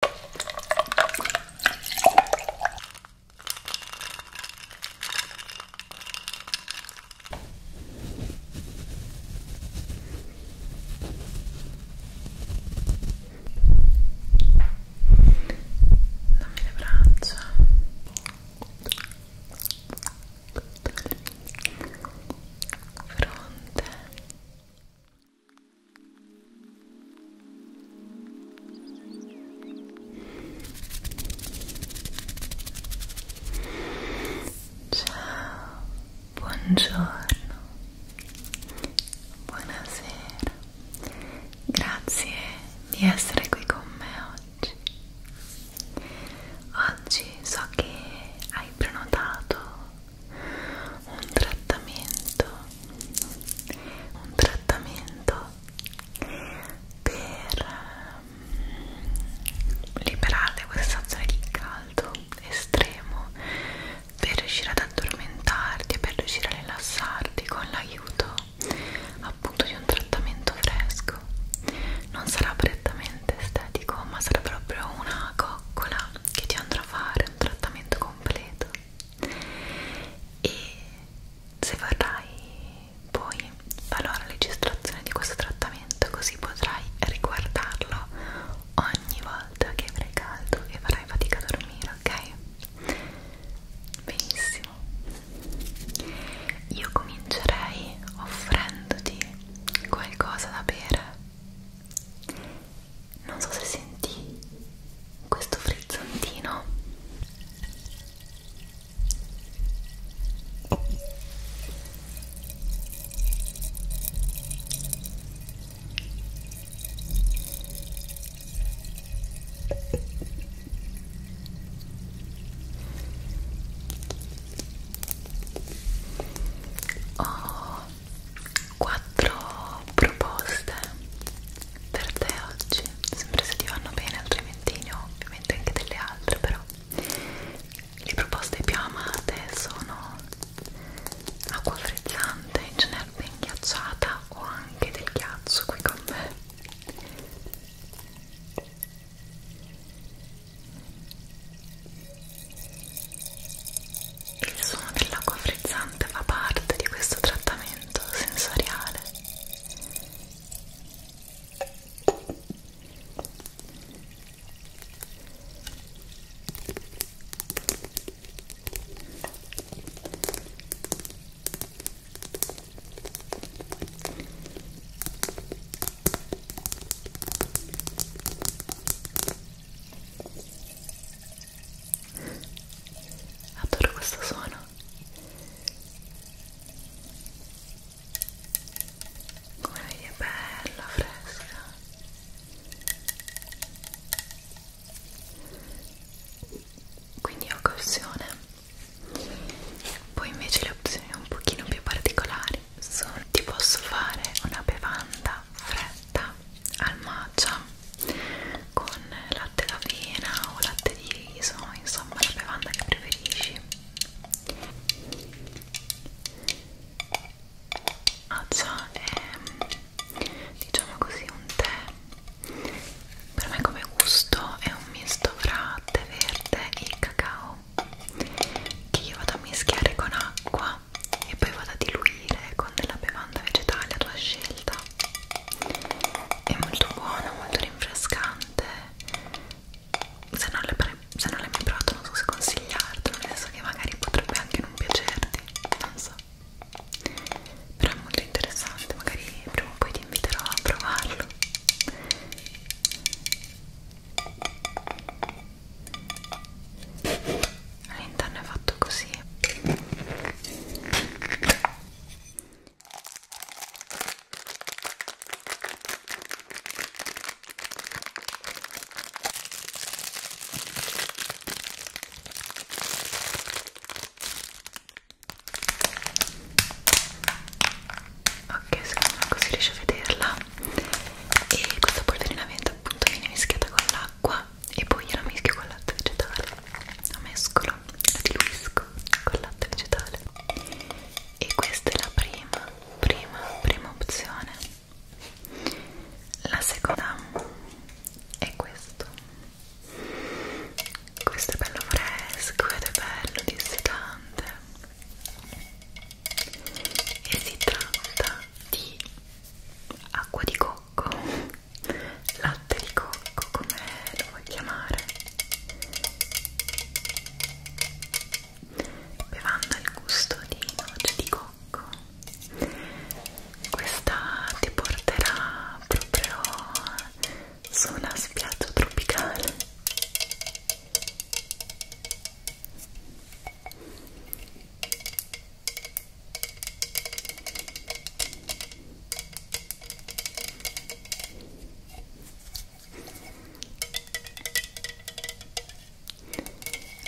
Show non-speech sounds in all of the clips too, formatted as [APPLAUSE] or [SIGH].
Dammi le braccia fronte Ciao, buongiorno, buonasera, grazie di essere qui con me oggi. Oggi so che hai prenotato un trattamento un trattamento per mm, liberare da questa stazione di caldo estremo per riuscire ad addormentarti e per riuscire a rilassarti con l'aiuto appunto di un trattamento fresco non sarà prettamente estetico ma sarà proprio una coccola che ti andrà a fare un trattamento completo e se vorrai poi valora registrazione di questo trattamento così potrai riguardarlo ogni volta che avrai caldo e farai fatica a dormire ok benissimo io comincerei offrendoti qualcosa da bere non so se senti questo frizzantino ho oh, quattro proposte per te oggi sempre se ti vanno bene altrimenti ne ho ovviamente anche delle altre però le proposte più amate sono acqua frizzante in generale ben ghiacciata o anche del ghiaccio qui con me il suono dell'acqua frizzante fa parte di questo trattamento sensoriale adoro questo suono come vedi è bella fresca quindi ho cauzione poi invece le opzioni un pochino più particolari sono ti posso fare una bevanda la fretta al matcha con latte d'avena o latte di riso, insomma la bevanda che preferisci matcha è diciamo così un tè per me come gusto è un misto fra tè verde e cacao che io vado a mischiare con acqua e poi vado a diluire con della bevanda vegetale a tua scelta è molto buono, molto rinfrescante se non l'hai mai provato non so se consigliartelo nel senso che magari potrebbe anche non piacerti non so però è molto interessante magari prima o poi ti inviterò a provarlo all'interno è fatto così ok secondo me così riesci a vederla e questa polverina appunto viene mischiata con l'acqua e poi la mischio con latte vegetale la mescolo, la diluisco con latte vegetale e questa è la prima, prima, prima opzione la seconda è questo questo è bello fresco ed è bello dissecante e si tratta di acqua di cocco, latte di cocco, come lo vuoi chiamare, bevanda al gusto di noce di cocco. Questa ti porterà proprio su una spiaggia tropicale.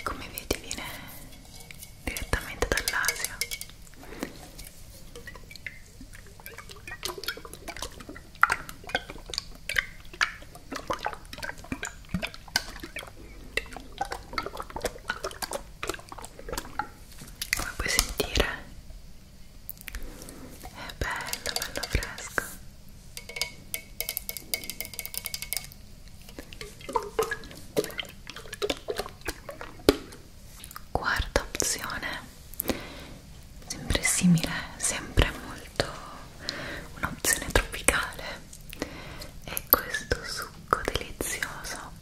Come vedi viene direttamente dall'Asia come puoi sentire è bello bello fresco quarta opzione sempre simile sempre molto un'opzione tropicale è questo succo delizioso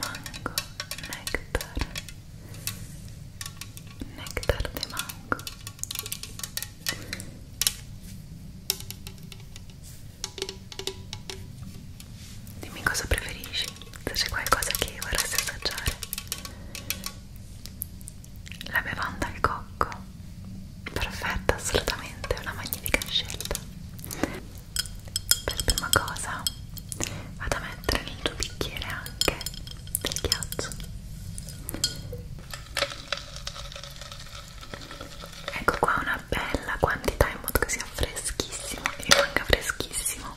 Mango, nectar, nectar di mango. Dimmi cosa preferisci, se c'è qualcosa che vorresti assaggiare la bevanda al cocco perfetta assolutamente una magnifica scelta per prima cosa vado a mettere nel tuo bicchiere anche del ghiaccio ecco qua una bella quantità in modo che sia freschissimo e rimanga freschissimo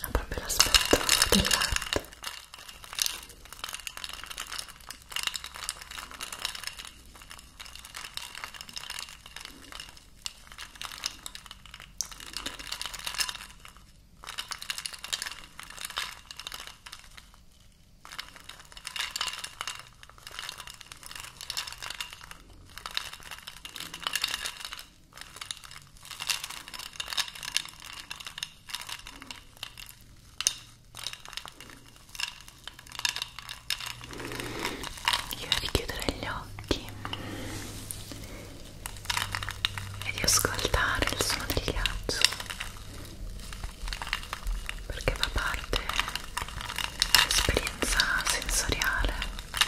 ha proprio l'aspetto del latte io richiuderei gli occhi e di ascoltare il suono del ghiaccio perché fa parte dell'esperienza sensoriale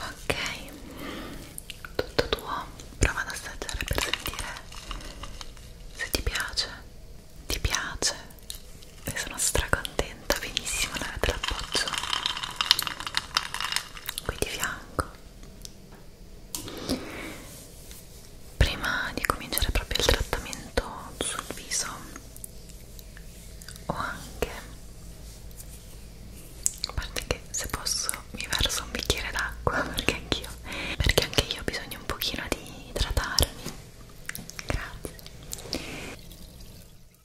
Ok, tutto tuo, prova ad assaggiare per sentire se ti piace, ti piace, e sono stracontenta, benissimo, l'avete l'appoggio qui di fianco prima di cominciare proprio il trattamento sul viso o anche a parte che se posso mi verso un bicchiere d'acqua [LAUGHS] perché anch'io perché anche io ho bisogno un pochino di idratarmi grazie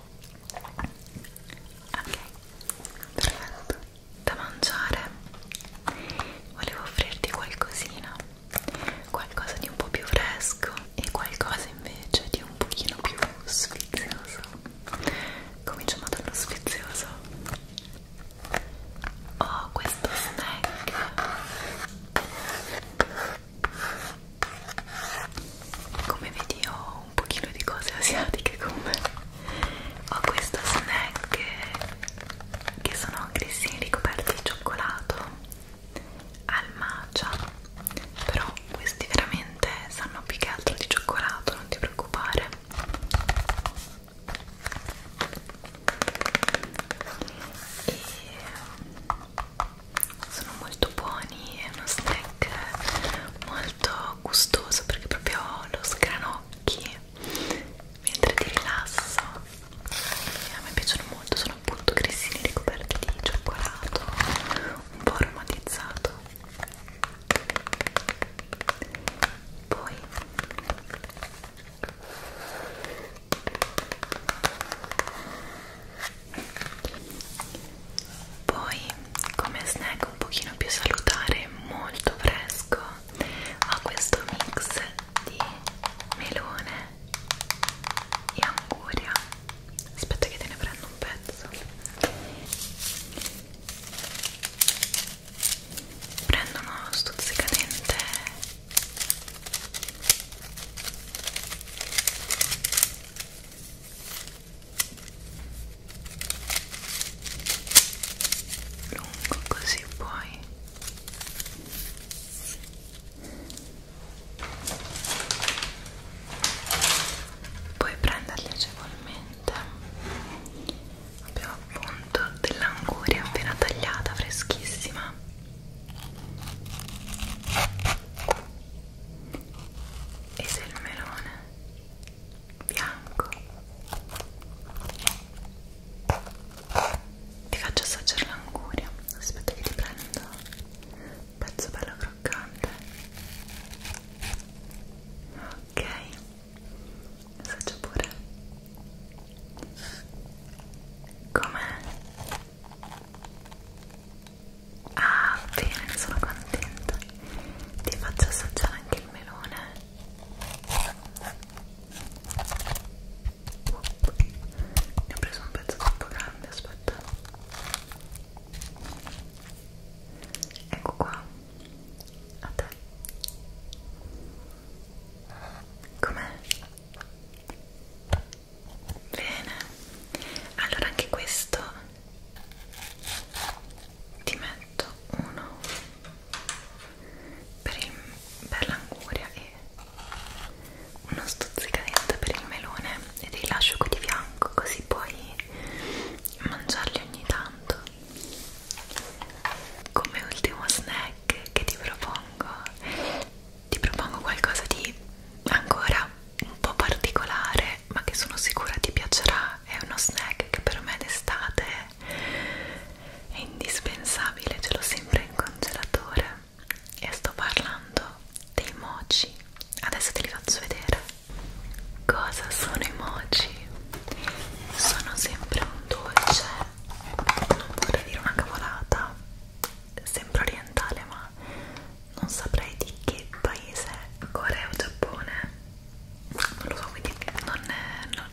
ok perfetto da mangiare volevo offrirti qualcosina qualcosa di un po' più fresco e qualcosa invece di un pochino più sfizioso cominciamo dallo sfizioso ho oh, questo snack come vedi ho un pochino di cose asiatiche con me ho questo snack che sono grissini ricoperti di cioccolato al matcha però questi veramente sanno più che altro di cioccolato non ti preoccupare e mm, sono molto molto buoni è uno snack molto gustoso perché proprio lo sgranocchi mentre ti rilasso e a me piacciono molto sono appunto grissini ricoperti di cioccolato un po' aromatizzato poi poi come snack un pochino più salutare molto fresco ho questo mix di melone e anguria aspetta che te ne prendo un pezzo prendo uno stuzzicadente lungo così poi puoi prenderli agevolmente abbiamo appunto dell'anguria appena tagliata freschissima e del melone bianco ti faccio assaggiare l'anguria aspetta che ti prendo un pezzo bello croccante ok assaggio pure com'è? Ah, bene, sono contenta. Ti faccio assaggiare anche il melone. Ne ho preso un pezzo troppo grande, aspetta. Ecco qua. A te. Com'è? Bene. Allora anche questo ti metto uno per, per l'anguria e uno stuzzicadente per il melone e dei lascio qui di fianco così puoi mangiarli ogni tanto come ultimo snack che ti propongo ti propongo qualcosa di ancora un po' particolare ma che sono sicura ti piacerà è uno snack che per me d'estate è indispensabile ce l'ho sempre in congelatore e sto parlando dei mochi adesso te li faccio vedere cosa sono i mochi? sono sempre un dolce non vorrei dire una cavolata sempre orientale ma non saprei di che paese, Corea o Giappone, non lo so, quindi non, è, non,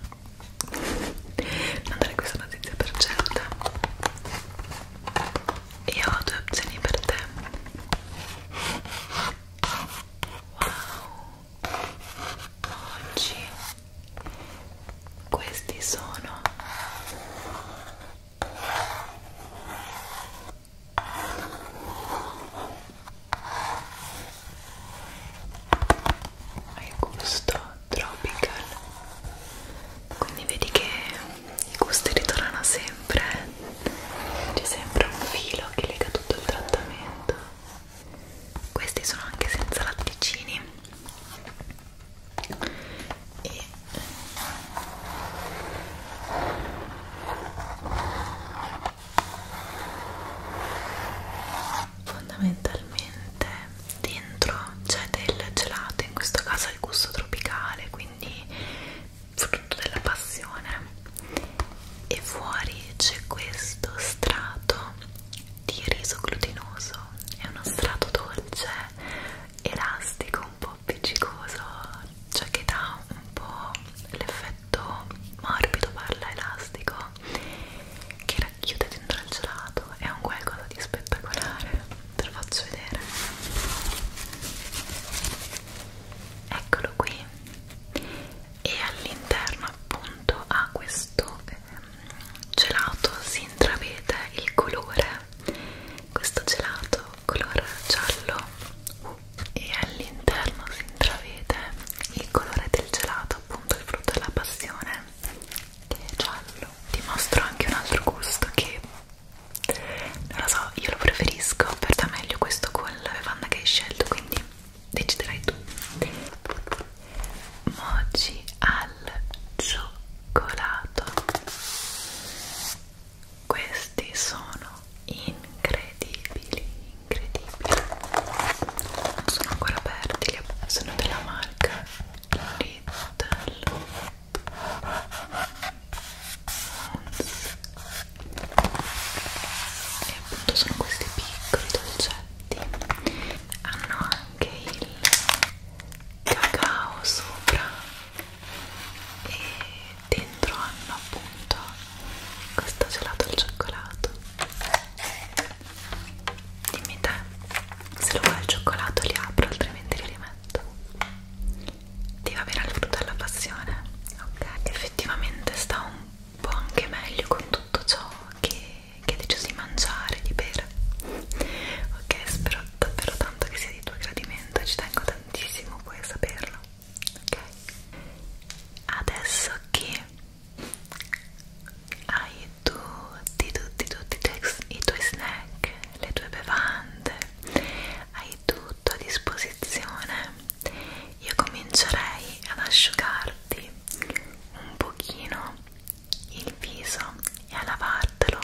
non darei questa notizia per certa. Io ho due opzioni per te. Wow, oggi questi sono il gusto tropical quindi vedi che i gusti ritornano sempre c'è sempre un filo che lega tutto il trattamento questi sono anche senza latticini e fondamentalmente dentro c'è del gelato in questo caso è il gusto tropicale quindi frutto della passione e fuori c'è questo strato di riso glutinoso è uno strato dolce elastico un po' po' appiccicoso, cioè che dà un po' l'effetto morbido, parla elastico, che racchiude dentro il gelato, è un qualcosa di spettacolare, te lo faccio vedere. Eccolo qui, e all'interno appunto ha questo ehm, gelato, si intravede il colore questo gelato color giallo uh, e all'interno si intravede il colore del gelato, appunto il frutto della passione, che è giallo. Ti mostro anche un altro gusto che non lo so, io lo preferisco, per te meglio questo con la bevanda che hai scelto, quindi deciderai tu. Mochi al cioccolato questi sono incredibili incredibili non sono ancora aperti sono della marca Little Moons e appunto sono questi piccoli dolcetti hanno anche il cacao sopra e dentro hanno appunto questo gelato al cioccolato dimmi te se lo vuoi al cioccolato li apro altrimenti li rimetto ti va bene al frutto alla passione? ok effettivamente sta un po' anche meglio con tutto ciò che, che hai deciso di mangiare di bere ok spero davvero tanto che sia di tuo gradimento ci tengo tantissimo puoi saperlo ok adesso che hai tutti tutti tutti i tuoi snack le tue bevande hai tutto a disposizione io comincerei ad asciugarti un pochino il viso e a lavartelo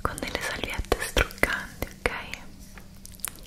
con delle salviette struccanti ok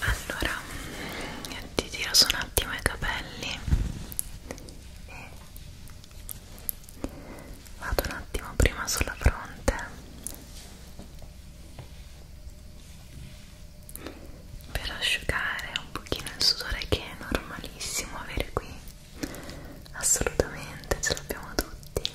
allora mm, ti tiro su un attimo i capelli e vado un attimo prima sulla fronte per asciugare un pochino il sudore che è normalissimo avere qui assolutamente ce l'abbiamo tutti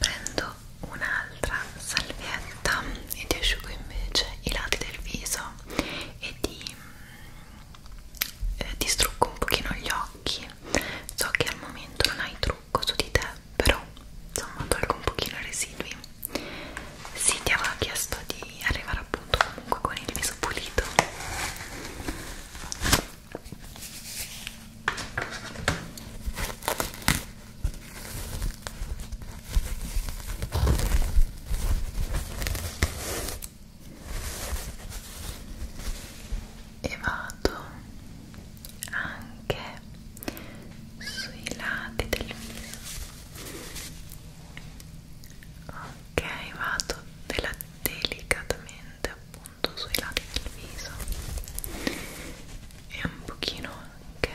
Prendo un'altra salvietta e ti asciugo invece i lati del viso e ti eh, distruggo un pochino gli occhi. So che al momento non hai trucco trucco su di te però insomma tolgo un pochino i residui sì ti aveva chiesto di arrivare appunto comunque con il viso pulito e vado anche sui lati del viso ok vado della delicatamente appunto sui lati del viso e un pochino anche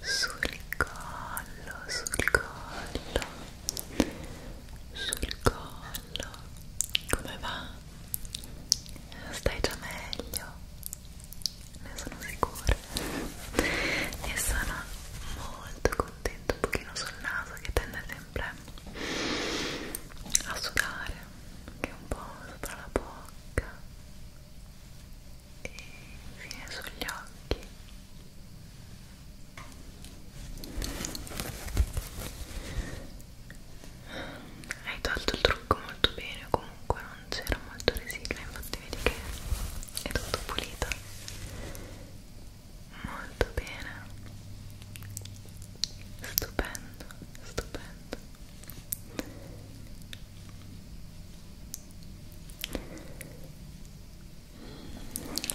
sul collo sul collo sul collo come va? stai già meglio ne sono sicura e sono molto contenta un pochino sul naso che tende sempre a sudare che un po' sopra la bocca e infine sugli occhi hai tolto il trucco molto bene comunque non c'era molto resigla infatti vedi che è tutto pulito molto bene stupendo stupendo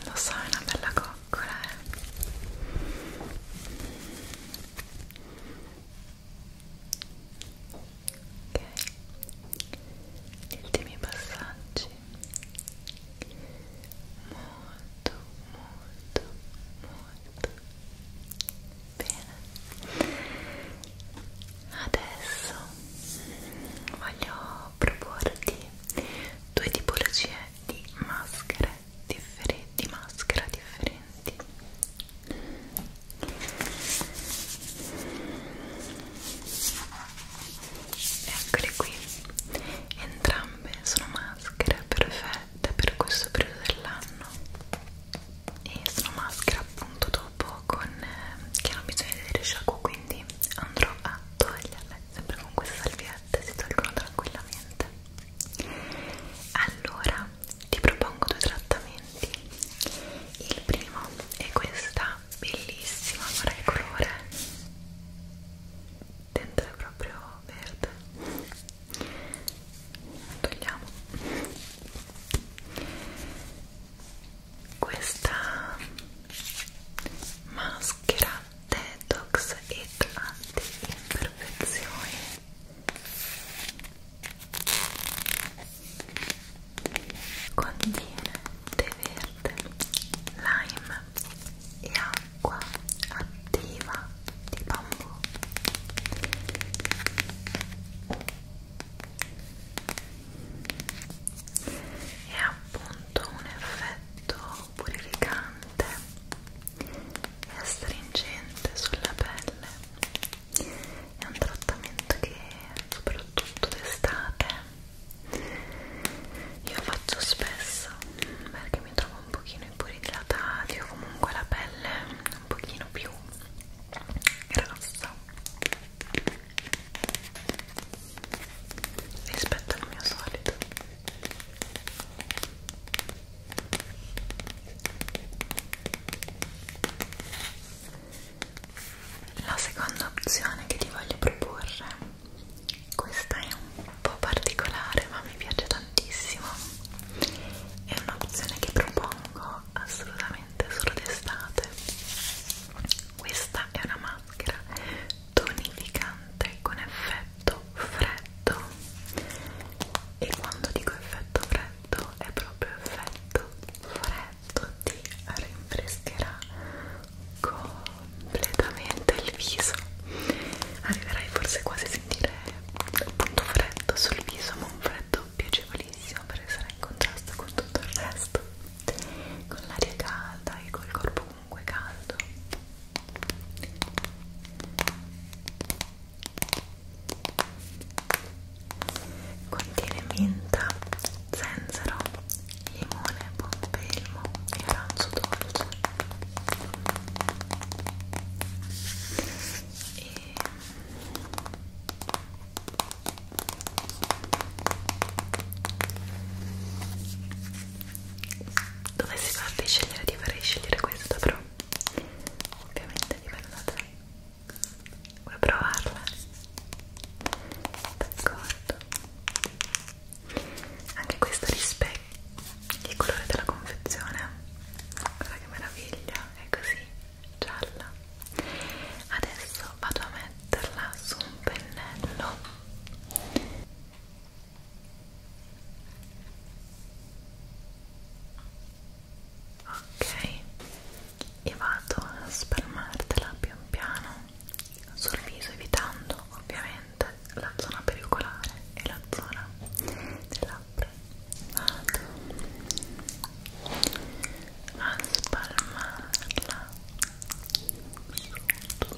lo so è una bella cosa piccola eh. ok gli ultimi passaggi molto molto molto bene adesso voglio proporti due tipologie di maschere differenti, maschera differenti eccole qui entrambe sono maschere perfette per questo periodo dell'anno e sono maschere appunto dopo con, eh, che hanno bisogno di vedere sciacquo quindi andrò a toglierle sempre con queste salviette si tolgono tranquillamente allora ti propongo due trattamenti il primo è questa bellissima colore dentro è proprio verde togliamo questa maschera detox e anti-imperfezioni contiene tè verde, lime e acqua attiva di bambù è appunto un effetto purificante è astringente sulla pelle è un trattamento che soprattutto d'estate io faccio spesso perché mi trovo un pochino iporidratati o comunque la pelle un pochino più grossa rispetto al mio solito la seconda opzione che ti voglio proporre, questa è un po' particolare ma mi piace tantissimo, è un'opzione che propongo assolutamente solo d'estate. Questa è una maschera tonificante con effetto effetto freddo e quando dico effetto freddo è proprio effetto freddo ti rinfrescherà completamente il viso arriverai forse quasi a sentire appunto freddo sul viso ma un freddo piacevolissimo perché sarà in contrasto con tutto il resto con l'aria calda e col corpo comunque caldo Contiene menta, zenzero, limone, pompelmo e arancio dolce. E dovessi farti scegliere ti farei scegliere questa però ovviamente dipende da te vuoi provarla? d'accordo anche questa rispecchia il colore della confezione guarda che meraviglia è così gialla adesso vado a metterla su un pennello ok e vado a spalmartela pian piano sul viso evitando ovviamente la zona pericolare e la zona delle labbra vado a spalmarla su tutto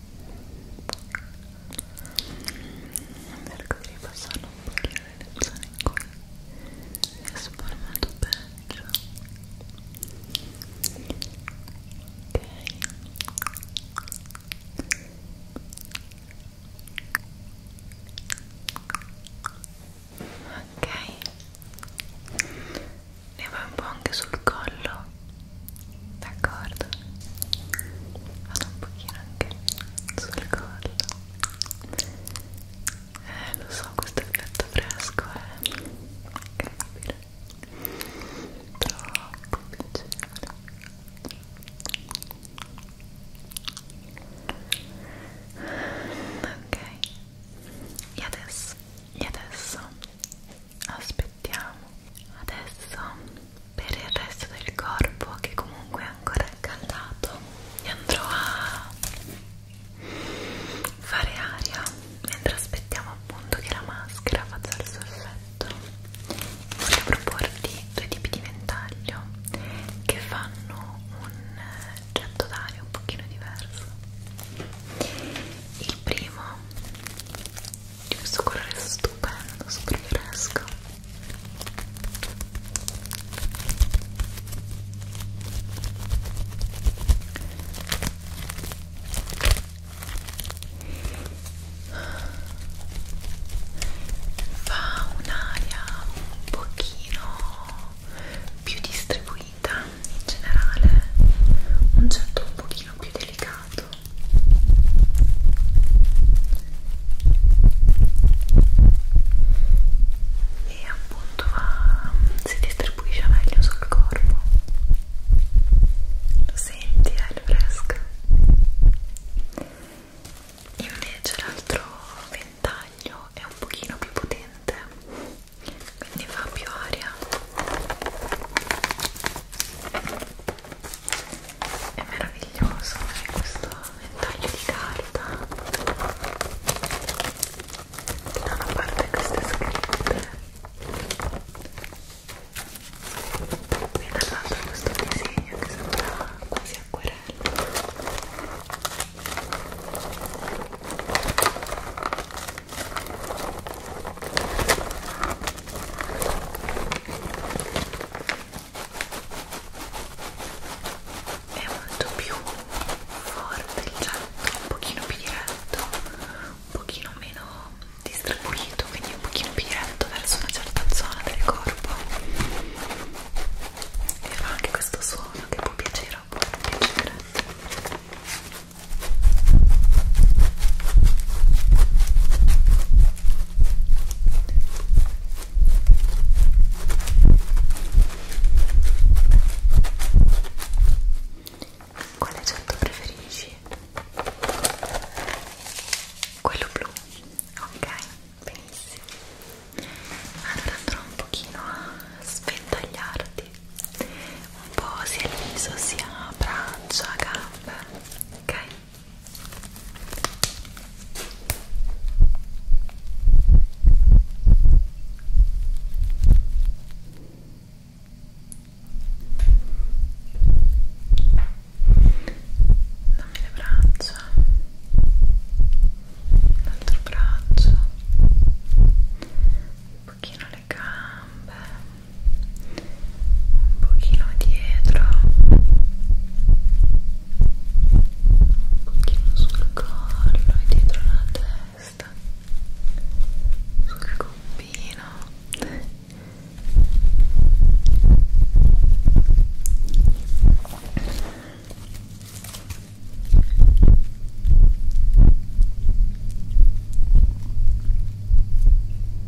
cerco di passare un pochino le zone in cui mi è sformato peggio ok ok ne vai un po' anche sul collo d'accordo vado un pochino anche sul collo eh lo so questo effetto fresco è incredibile troppo piacevole ok e adesso e adesso aspettiamo adesso per il resto del corpo che comunque è ancora accaldato andrò a fare aria mentre aspettiamo appunto che la maschera faccia il suo effetto voglio proporti due tipi di ventaglio che fanno un getto d'aria un pochino diverso il primo di questo colore stupendo, super fresco fa un'aria un pochino più distribuita in generale un certo un pochino più delicato e appunto va, si distribuisce meglio sul corpo lo senti, è eh, il fresco invece l'altro ventaglio è un pochino più potente quindi fa più aria è meraviglioso è questo ventaglio di carta da una parte queste scritte e dall'altra questo disegno che sembra quasi acquerello è molto più forte il getto, un pochino più diretto, un pochino meno distribuito, quindi un pochino più diretto verso una certa zona del corpo e fa anche questo suono che può piacere o può non piacere quale accento preferisci? Quello blu, ok, benissimo. Allora andrò un pochino a sventagliarti un po' sia il viso sia braccia, gambe, ok? Dammi le braccia, l'altro braccio, un pochino le gambe un pochino dietro un pochino sul collo e dietro la testa sul cupino Ora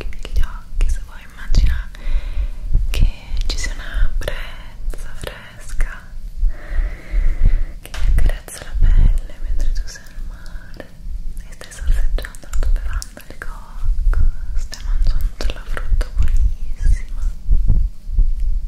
Chiudi gli occhi se vuoi, immagina che ci sia una brezza fresca che accarezza la pelle mentre tu sei al mare e stai sorseggiando la tua bevanda al cocco, stai mangiando della frutta buonissima.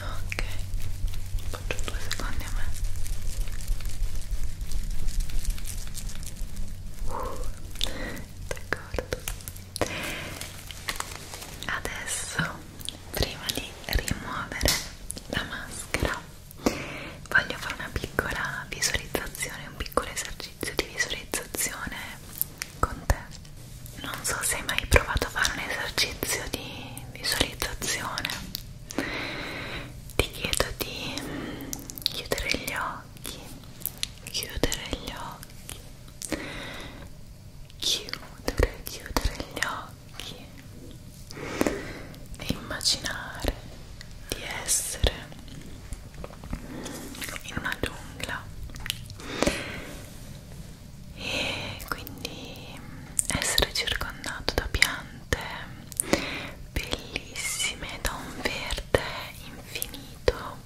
ok faccio due secondi a me uh, d'accordo adesso prima di rimuovere la maschera voglio fare una piccola visualizzazione un piccolo esercizio di visualizzazione con te. Non so se hai mai provato a fare un esercizio di visualizzazione. Ti chiedo di chiudere gli occhi, chiudere gli occhi, chiudere, chiudere gli occhi e immaginare di essere in una giungla e quindi essere circondato da piante bellissime da un verde infinito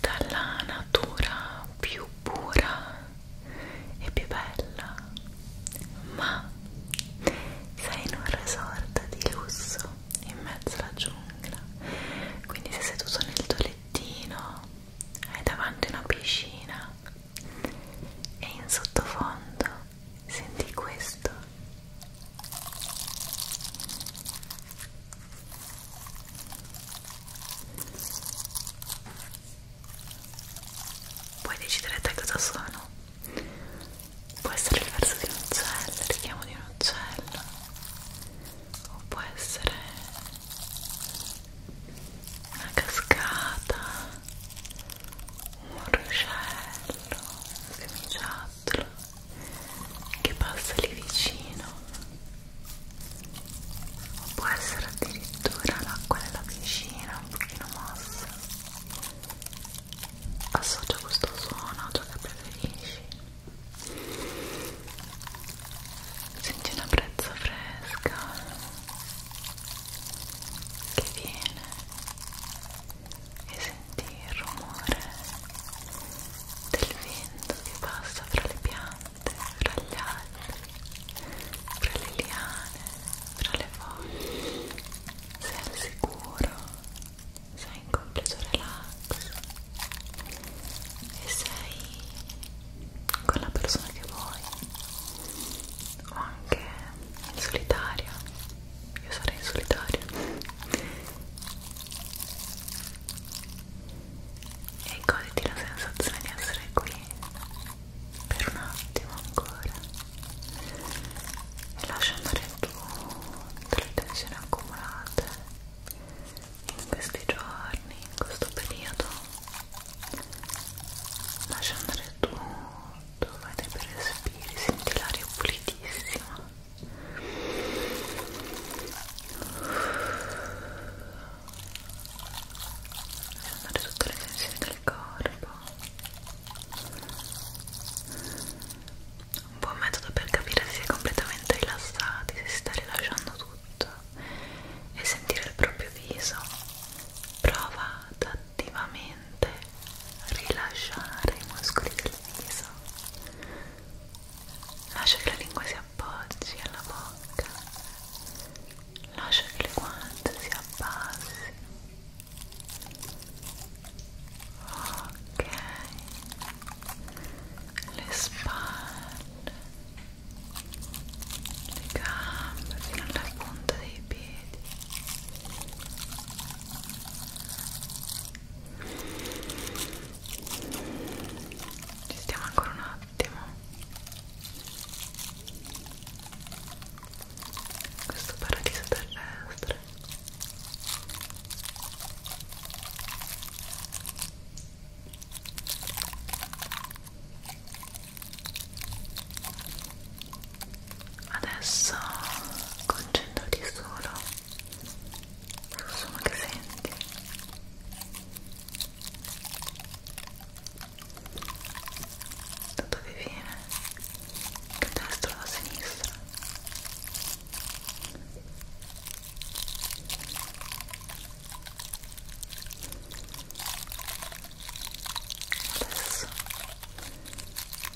dalla natura più pura e più bella ma sei in un resort di lusso in mezzo alla giungla quindi sei seduto nel tuo lettino hai davanti una piscina e in sottofondo senti questo puoi decidere te cosa sono può essere il verso di un uccello il richiamo di un uccello o può essere una cascata, un ruscello, un semiciattolo che passa lì vicino o può essere addirittura l'acqua della piscina un pochino mossa associa questo suono a ciò che preferisci senti una brezza fresca che viene e senti il rumore del vento che passa fra le piante, fra gli alberi, fra le liane, fra le foglie sei al sicuro sei in completo relax e sei con la persona che vuoi o anche in solitaria io sarei in solitaria e goditi la sensazione di essere qui per un attimo ancora e lascia andare tutte le tensioni accumulate in questi giorni, in questo periodo lascia andare tutto, vai dai per respiri, senti l'aria pulitissima lascia andare tutte le tensioni del corpo un buon metodo per capire se si è completamente rilassati, se si sta rilasciando tutto e sentire il proprio viso. Prova ad attivamente rilasciare i muscoli del viso. Lascia che la lingua si appoggi alla bocca. Lascia che le guance si abbassino. Ok le spalle, le gambe fino alla punta dei piedi. Ci stiamo ancora un attimo. Questo paradiso terrestre. Adesso concentrati solo sul suono che senti. Da dove viene? Da destra o da sinistra? Adesso da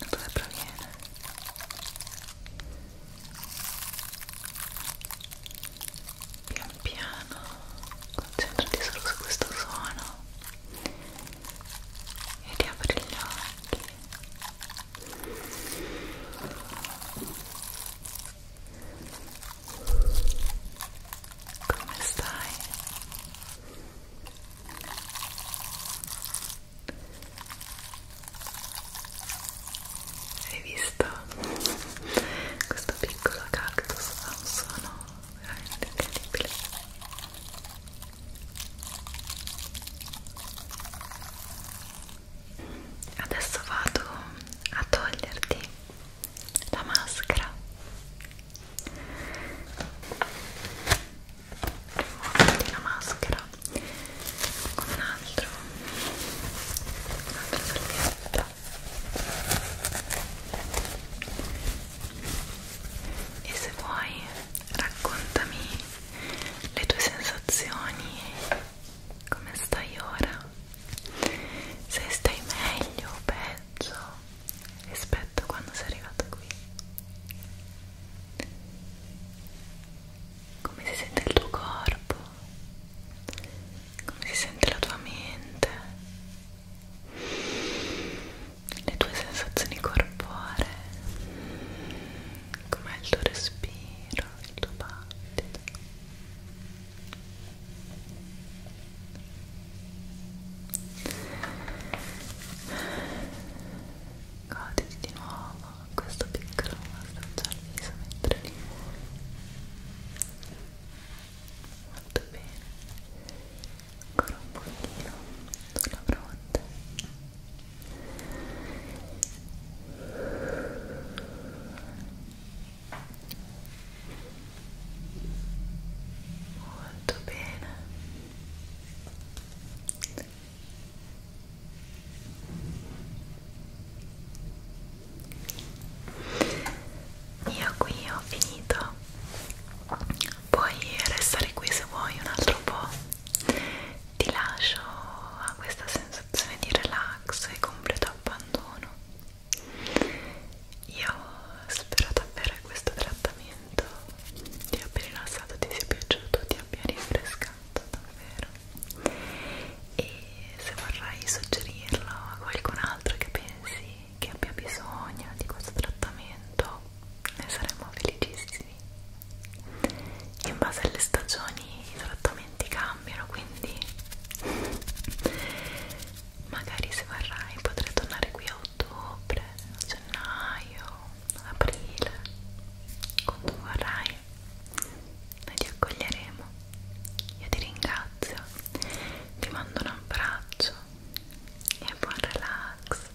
dove proviene? Pian piano concentrati solo su questo suono e riapri gli occhi come stai? Hai visto? Questo piccolo cactus ha un suono veramente incredibile. Adesso vado a toglierti la maschera. Rimuoviti la maschera con un altro, un'altra salvietta e se vuoi raccontami le tue sensazioni come stai ora? Se stai meglio o peggio rispetto a quando sei arrivato qui? Come si sente il tuo corpo? Come si sente la tua mente? Le tue sensazioni corporee? com'è il tuo respiro, il tuo battito goditi di nuovo questo piccolo massaggio al viso mentre li molto bene ancora un pochino sulla fronte molto bene io qui ho finito puoi restare qui se vuoi un altro po' ti lascio a questa sensazione sensazione di relax e completo abbandono. Io spero davvero che questo trattamento ti abbia rilassato, ti sia piaciuto, ti abbia rinfrescato davvero. E se vorrai suggerirlo a qualcun altro che pensi che abbia bisogno di questo trattamento, ne saremmo felicissimi in base alle stagioni i trattamenti cambiano quindi magari se vorrai potrai tornare qui a ottobre a gennaio ad aprile quando vorrai noi ti accoglieremo io ti ringrazio ti mando un abbraccio e buon relax